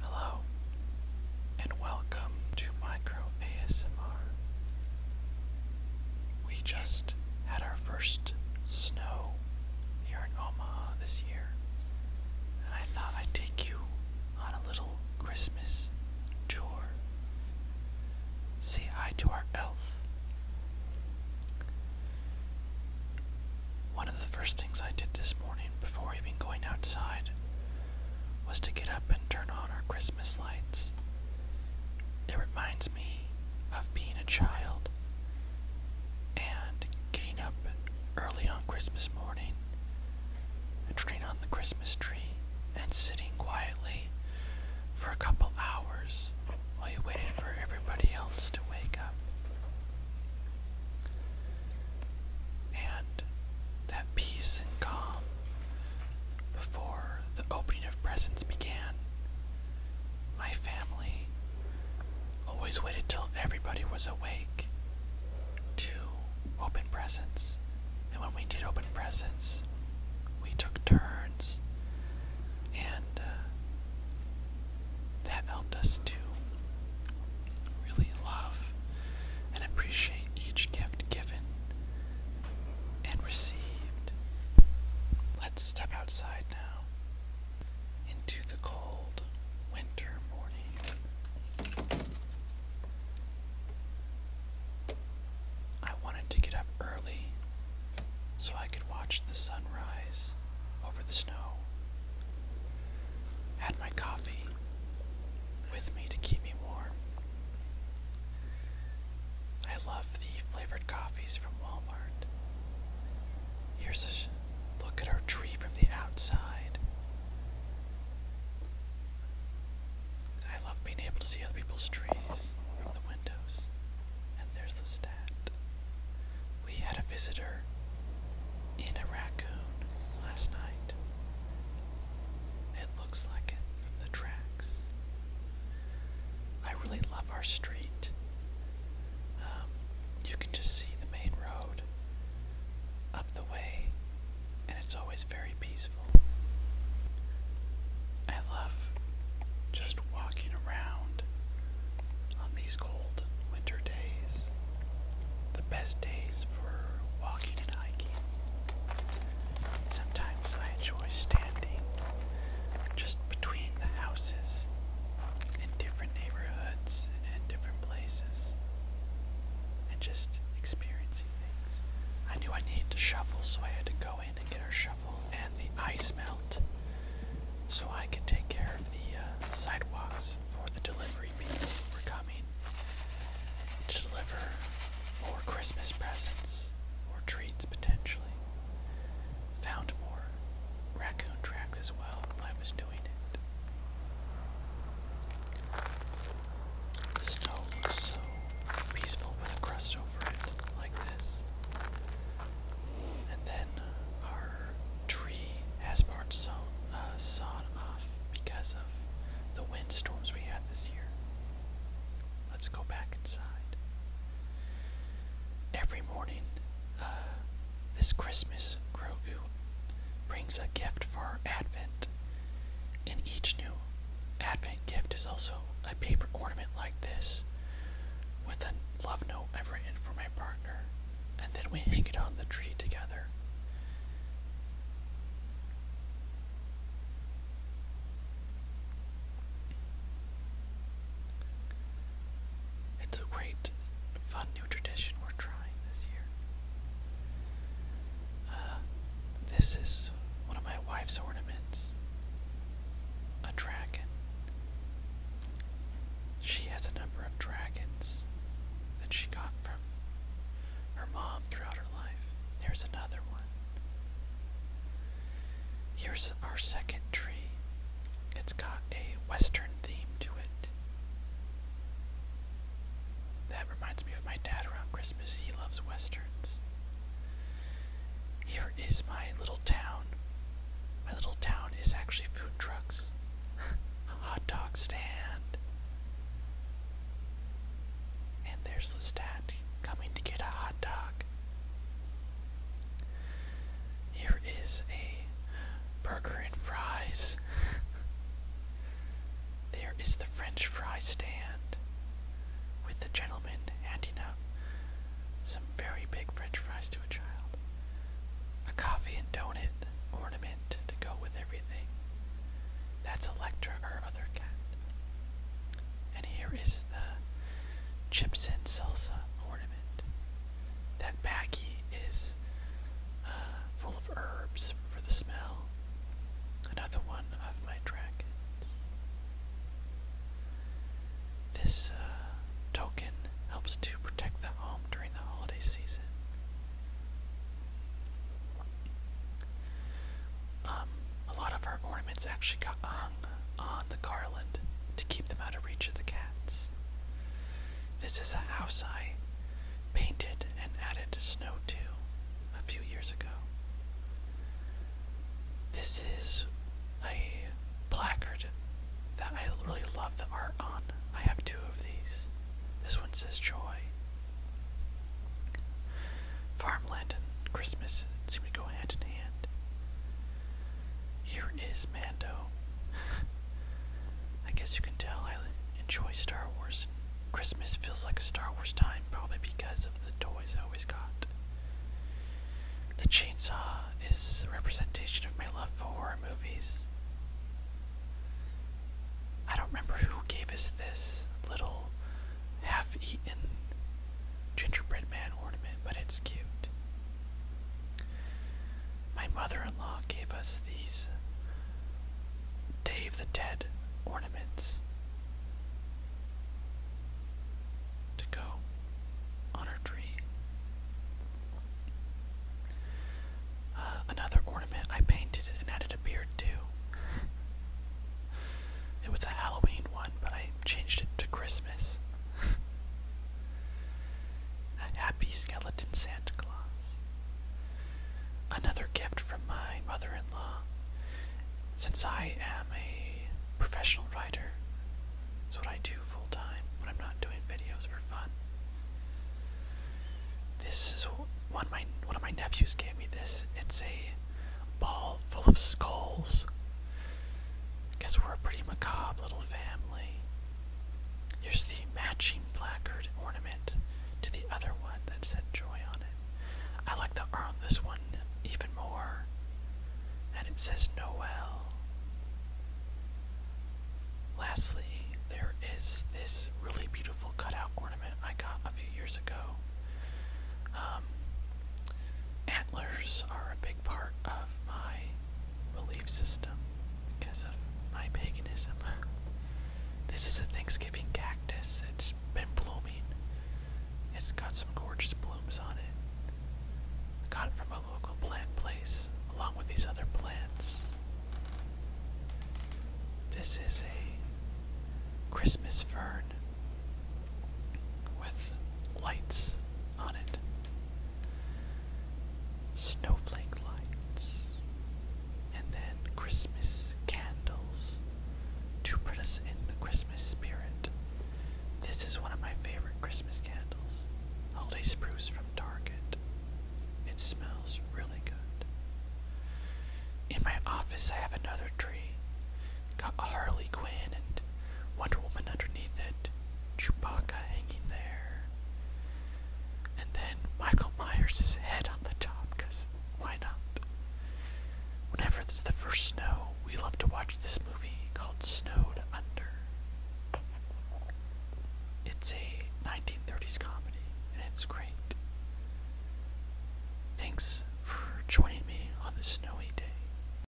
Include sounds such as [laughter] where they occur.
Hello, and welcome to Micro ASMR. We just had our first snow here in Omaha this year, and I thought I'd take you on a little Christmas tour. Say hi to our elf. One of the first things I did this morning before even going outside was to get up and turn on our Christmas lights. It reminds me of being a child and getting up early on Christmas morning and turning on the Christmas tree and sitting quietly for a couple hours while you waited for everybody else to wake up. And that peace and calm before the opening of presents began, my family always waited till everybody was awake to open presents. And when we did open presents, we took turns and uh, that helped us to really love and appreciate each gift given and received. Let's step outside now into the cold winter morning. I wanted to get up early so I could watch the sun rise over the snow. Had my coffee with me to keep me warm. I love the flavored coffees from Walmart. Here's a look at our tree from the outside. I love being able to see other people's trees from the windows. And there's the stat. We had a visitor in a raccoon last night. It looks like it from the tracks. I really love our street. Um, you can just see the main road up the way, and it's always very peaceful. I love just walking around on these cold winter days. The best days for walking and hiking. Sometimes I enjoy standing just between the houses in different neighborhoods and different places and just experiencing things. I knew I needed to shovel, so I had to go in and get our shovel and the ice melt so I can take care of the uh, sidewalks for the delivery people who are coming to deliver more Christmas presents or treats potentially. Found more raccoon tracks as well while I was doing it. The snow looks so peaceful with a crust over it, like this. And then our tree has parts sawn, uh, off because of the windstorms we had this year. Let's go back inside. Every morning, uh, this Christmas, Grogu brings a gift for Advent, and each new advent gift is also a paper ornament like this with a love note I've written for my partner, and then we hang it on the tree together. It's a great, fun new tradition we're trying this year. Uh, this is one of my wife's ornaments. A dragon. She has a number of dragons that she got from her mom throughout her life. There's another one. Here's our second tree. It's got a western theme to it. That reminds me of my dad around Christmas. He loves westerns. Here is my little town. My little town is actually food trucks, [laughs] a hot dog stand. And there's Lestat coming to get a hot dog. Here is a burger and fries. [laughs] There is the French fry stand with the gentleman handing out some very big French fries to a child. A coffee and donut ornament to go with everything. That's Electra, her other cat. And here is the chips and salsa ornament. That baggy is uh, full of herbs for the smell. Another one of my dragons. This uh, token helps to protect the home during the holiday season. Um, a lot of our ornaments actually got hung on the garland to keep them out of reach of the cats. This is a house I painted and added snow to a few years ago. This is a placard that I really love the art on. I have two of these. This one says Joy. Farmland and Christmas seem to go hand in hand. Here is Mando. [laughs] I guess you can tell I enjoy Star Wars. Christmas feels like a Star Wars time, probably because of the toys I always got. The chainsaw is a representation of my love for horror movies. I don't remember who gave us this little half eaten gingerbread man ornament, but it's cute. My mother-in-law gave us these uh, Dave the Dead ornaments to go on her tree. Uh, another ornament I painted and added a beard to. it was a Halloween one, but I changed it to Christmas. [laughs] A happy skeleton Santa Claus. Another gift from my mother in law. Since I am a professional writer, it's what I do full time when I'm not doing videos for fun. This is one of my one of my nephews gave me this. It's a ball full of skulls. guess we're a pretty macabre little family. Here's the matching placard ornament to the other one that said joy on it. I like the art on this one even more. And it says Noel. Lastly, there is this really beautiful cutout ornament I got a few years ago. Um, antlers are a big part of my relief system because of my paganism. [laughs] this is a Thanksgiving cactus. It's been blooming. It's got some gorgeous blooms on it. Got it from a local plant place, along with these other plants. This is a Christmas fern with lights on it. Snowflake lights, and then Christmas candles to put us in the Christmas spirit. This is one of my favorite Christmas candles, Holiday Spruce from Target. It smells really good. In my office, I have another tree. Got a Harley Quinn and Wonder Woman underneath it, Chewbacca hanging there, and then Michael Myers' head on the top, because why not? Whenever it's the first snow, we love to watch this movie called Snowed Under. It's a 1930s comedy, and it's great. Thanks for joining me on this snowy day.